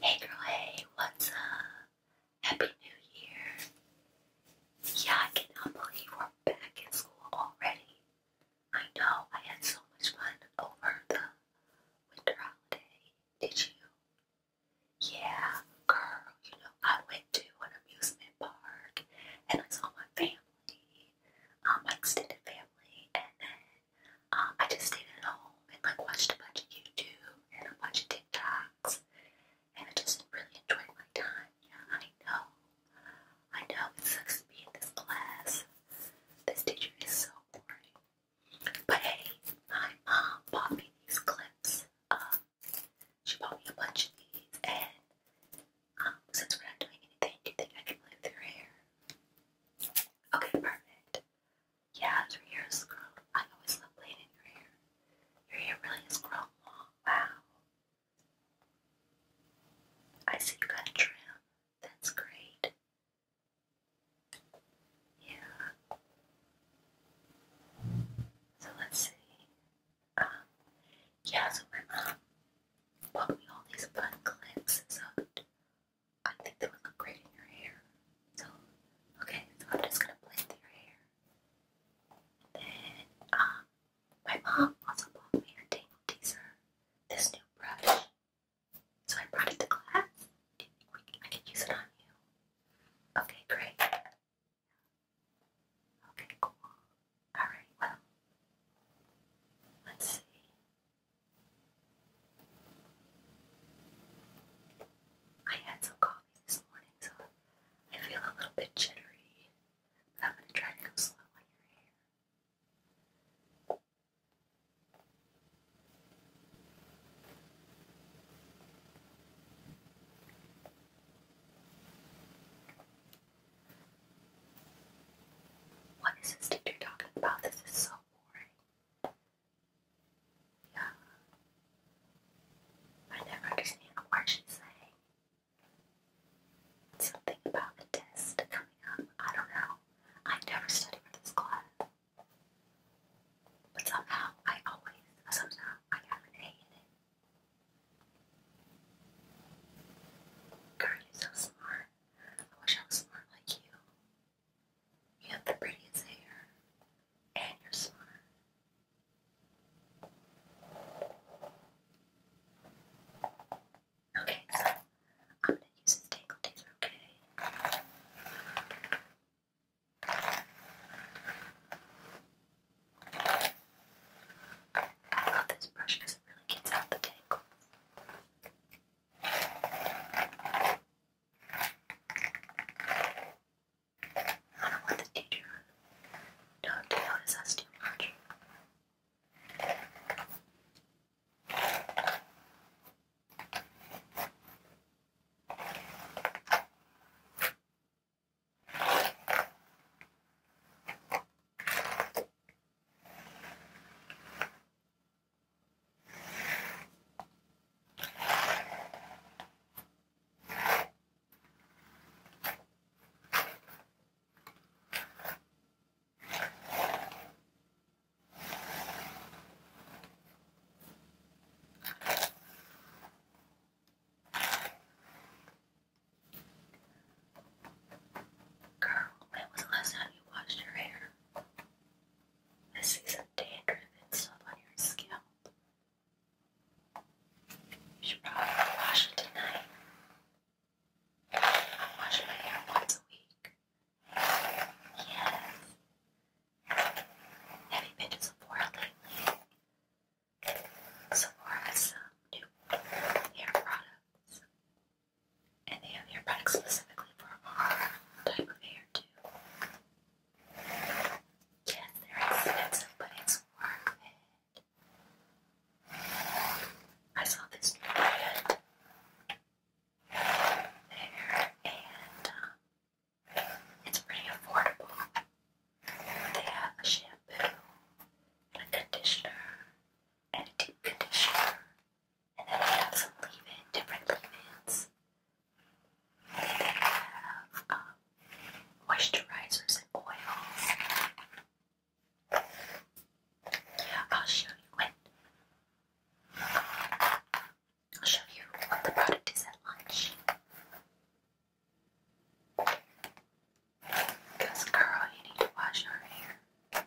Hey girl, hey, what's up? Happy New Year. Yeah, I cannot believe we're back in school already. I know, I had so much fun over the winter holiday. Did you? Yeah, girl, you know, I went to an amusement park and I saw my family, um, my extended family, and then um, I just stayed at home and like watched a bunch of YouTube and a bunch of TikToks, and I just really enjoyed my time. Yeah, I know, I know it sucks to be in this class. This teacher is so boring. But hey, my mom bought me these clips. she bought me a bunch of these, and um, since we're not doing anything, do think I can play through your hair? Okay, perfect. Yeah, your hair is curled. I always love playing in your hair. Your hair really is grown long. Wow. I see you got a trim. That's great. Yeah. So let's see. Um, yeah, so my mom bought me all these fun clips. So I think they would look great in your hair. So, okay, so I'm just gonna blend your hair. then, um, my mom also bought me a Dame Teaser, this new brush. So I brought it to class. I can use it on you? Okay, great. Okay, cool. Alright, well, let's see. I had some coffee this morning, so I feel a little bit jittery. I'm gonna try to go slow on your hair. What is this teacher talking about? This is so boring. Yeah. I never understand what she's saying. Something about a test coming up. I don't know. I never study for this class. But somehow I always, somehow I have an A in it. Girl, you're so smart. I wish I was smart like you. You have the prettiest hair, and you're smart. Okay, so I'm gonna use this tangle okay? I love this brush because it really gets out the tangles. I don't want the teacher to notice us too much. Girl, when was the last time you washed your hair? I see some dandruff and stuff on your scalp. You should probably wash it tonight. I wash my hair once a week. Yes. Have you been Sephora lately? Sephora has some new hair products. And they have their products specifically for our type of hair too. Yes, they're expensive, but it's worth it. I saw this brand there, and um, it's pretty affordable. They have a shampoo, a conditioner, and a deep conditioner, and then we have some leave-in, different leave-ins. They have um, moisturizers and oils. I'll show you when. Um, I'll show you what the product is at lunch. Because, girl, you need to wash your hair.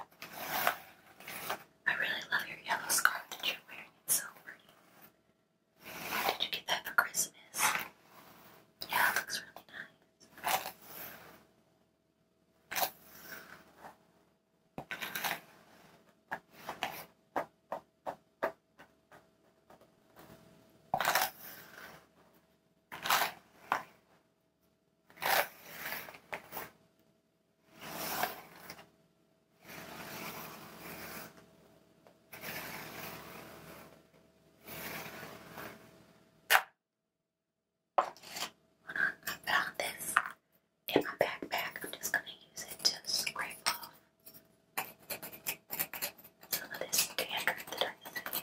I really love your yellow scarf that you're wearing. It's so pretty. Did you get that for Christmas? Yeah, it looks really nice. When I found this in my backpack, I'm just going to use it to scrape off some of this dandruff that I see.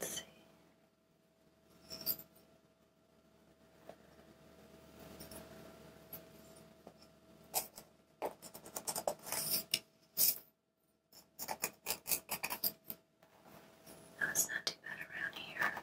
Let's it's not too bad around here.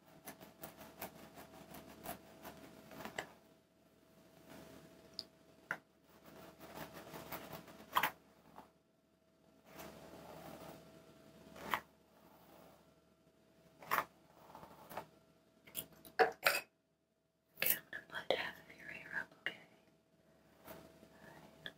Okay, I'm gonna blend half of your hair up, okay? Alright.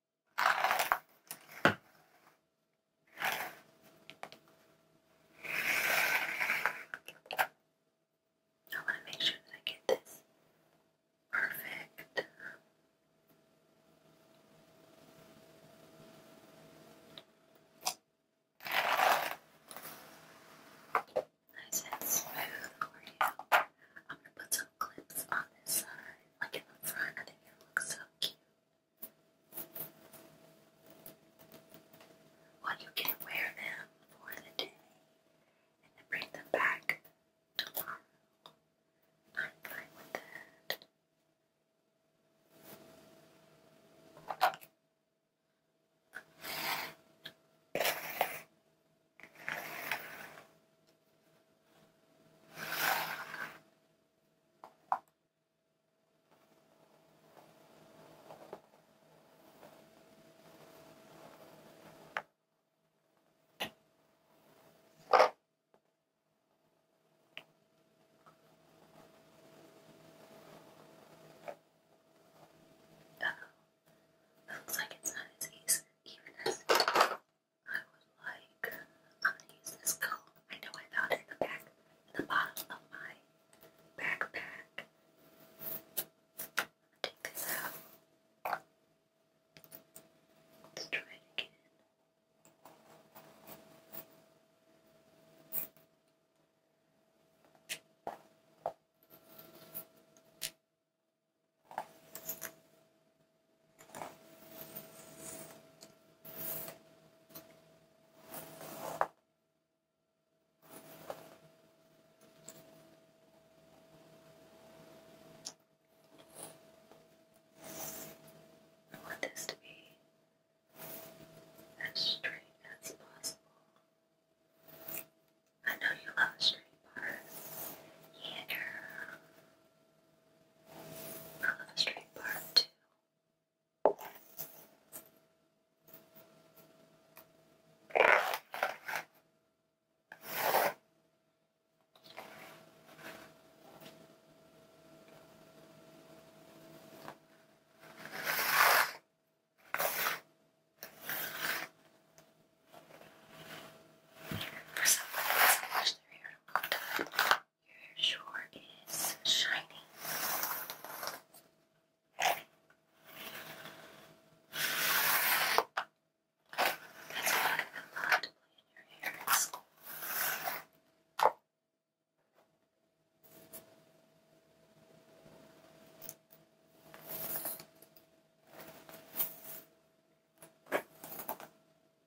I want to make sure that I get this perfect. Nice and smooth for you. I'm gonna put some clips on this side, like in the front. I think it looks so cute. Well, you can wear them for the day and then bring them back tomorrow. I'm fine with that. Uh oh, looks like it's not as easy, even as I would like, I'm gonna use this comb. I know I found it in the back, in the bottom of my backpack. Take this out. Let's try it again. I want this to be as straight as possible. I know you love straight bars. Yeah, girl. Uh, let's try part For someone who hasn't washed their hair in a long time, your shore is shiny. That's why I'm to play in your hair at school.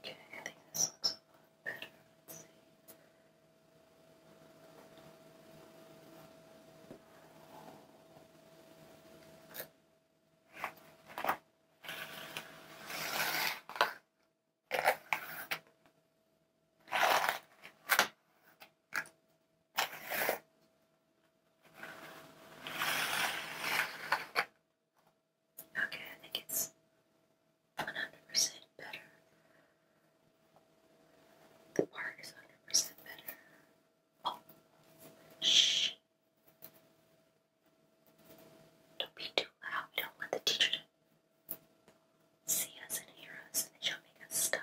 Okay, I think this looks a lot better. Let's see. Okay, I think it's 100% better. The part is 100% better. Oh, shh. Don't be too loud. We don't want the teacher to See us and hear us, and it shall make us stop.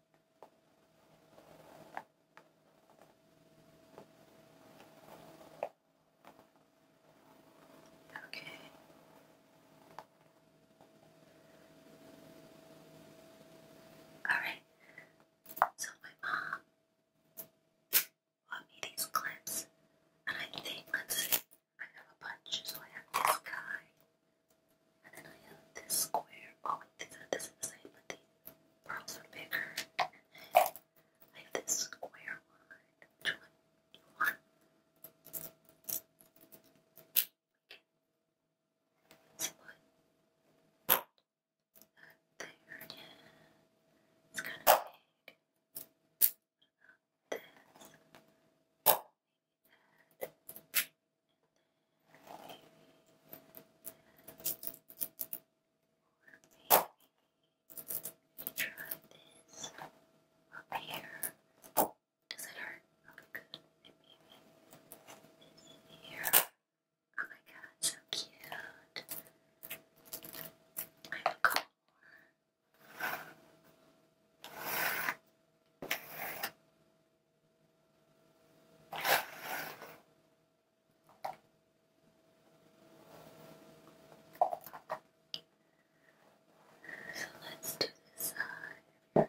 Okay. Alright, so my mom bought me these clips, and I think, let's see, I have a bunch, so I have this guy, and then I have this square. Oh, wait, it's not this on the same, but the pearls are bigger. I have this square one. Which one do you want? there. Yeah. It's kind of big. What this? Or maybe try this up here. Does it hurt? Okay, good. maybe this here. Oh my god, so cute. I have a couple more. So let's do this side.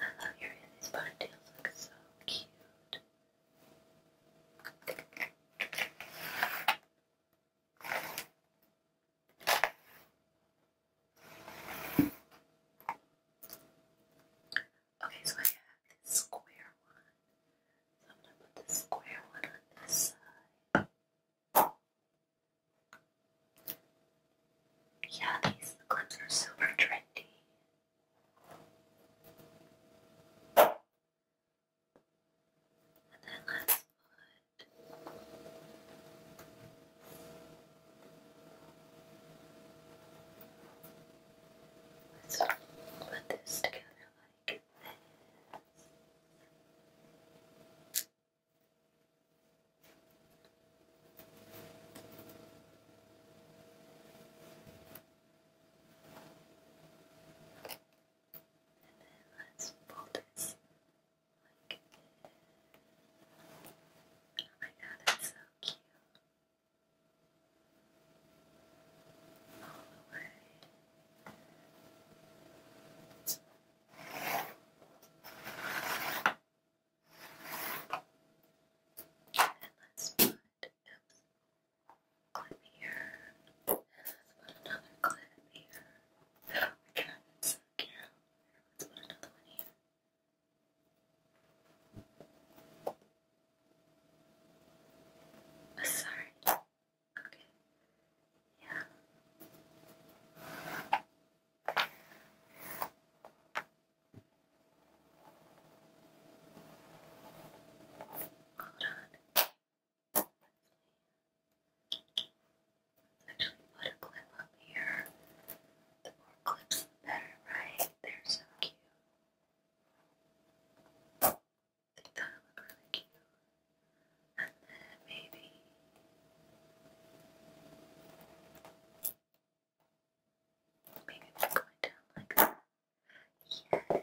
I love your hair. look so cute. Okay, so I have this square one. I'm gonna put this square one on this side. Yeah, these clips are super trendy. And then let's put Let's put this together like this. And then let's pull this like this. Oh my god, that's so cute all the And let's put, oops, clip here, and let another clip here. I cannot, it's so cute. Let's put another one here. Oh, sorry. Okay. Yeah. Hold on. Let's actually put a clip up here the more clips, the better, right? They're so cute. I think that would really cute. And then maybe. Maybe we're going down like that. Yes, girl.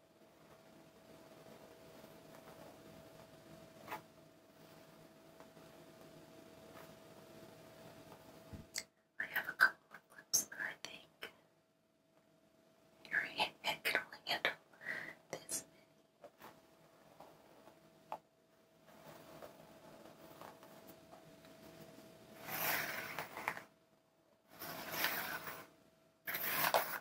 I have a couple of clips that I think your head can only handle this many.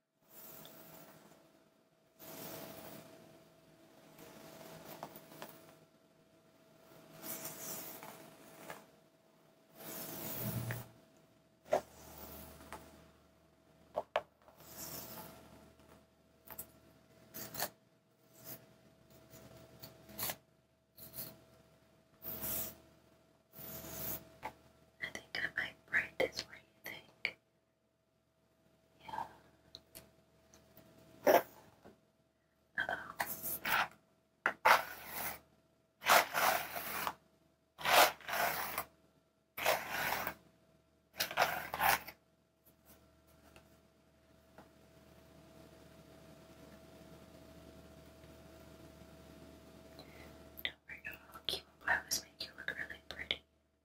I think I might write this. What you think? Yeah. Uh-oh. Don't worry, I'll keep. I always make you look really pretty.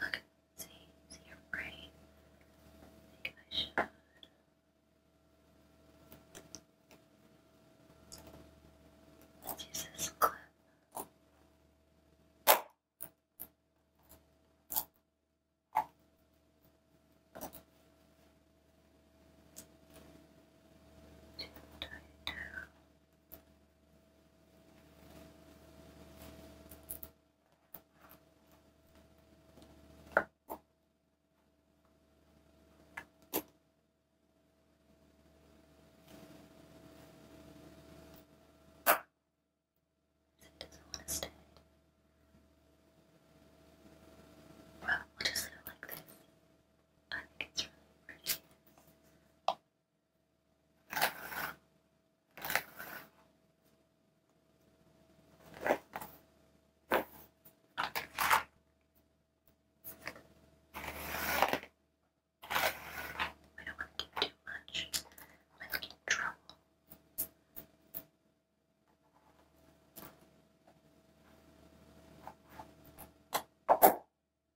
Look at see, see your brain. I I should. Let's use this clip. That doesn't want to stand. Well, we'll just leave it like this. I uh, think it's really pretty. I don't want to give too much. I might get in trouble.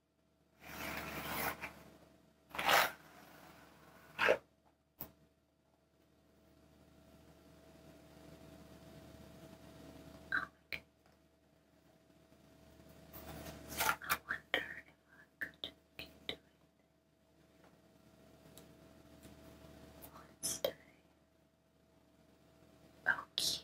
I wonder if I could keep doing oh, this. Wednesday. Oh, cute.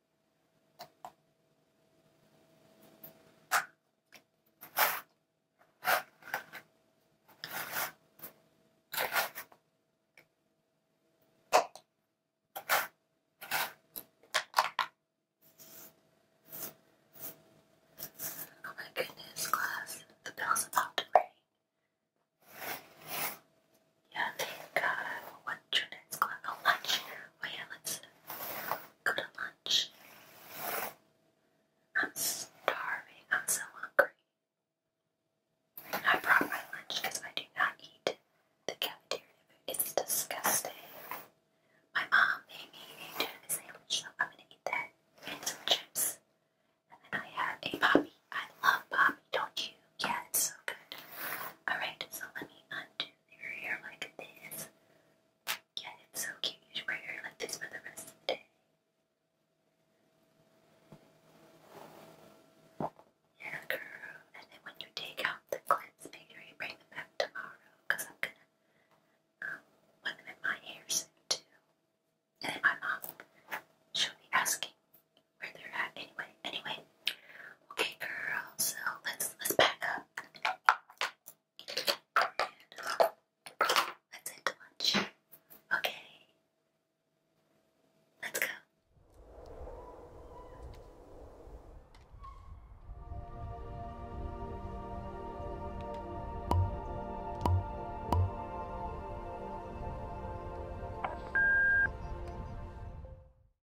Oh my goodness, class, the bell's about to ring. Yeah, thank God. What's your next class? Oh, lunch. Oh yeah, let's go to lunch. I'm starving. I'm so hungry. I brought my lunch because I do not eat the cafeteria food. It's disgusting. My mom made me a tuna sandwich, so I'm gonna eat that and some chips. And then I had a poppy. I love poppy, don't you? Yeah, it's so good. Alright, so let me undo your hair like this. Yeah, it's so cute. You should wear your hair like this for the rest of the day. Yeah, girl. And then when you take out the clips, make sure you bring them back tomorrow, I'm gonna um, put them in my hair too. And then my mom, she'll be asking where they're at anyway. Anyway, Okay, girl. So let's let's back up. let's head to lunch. Okay. Let's go.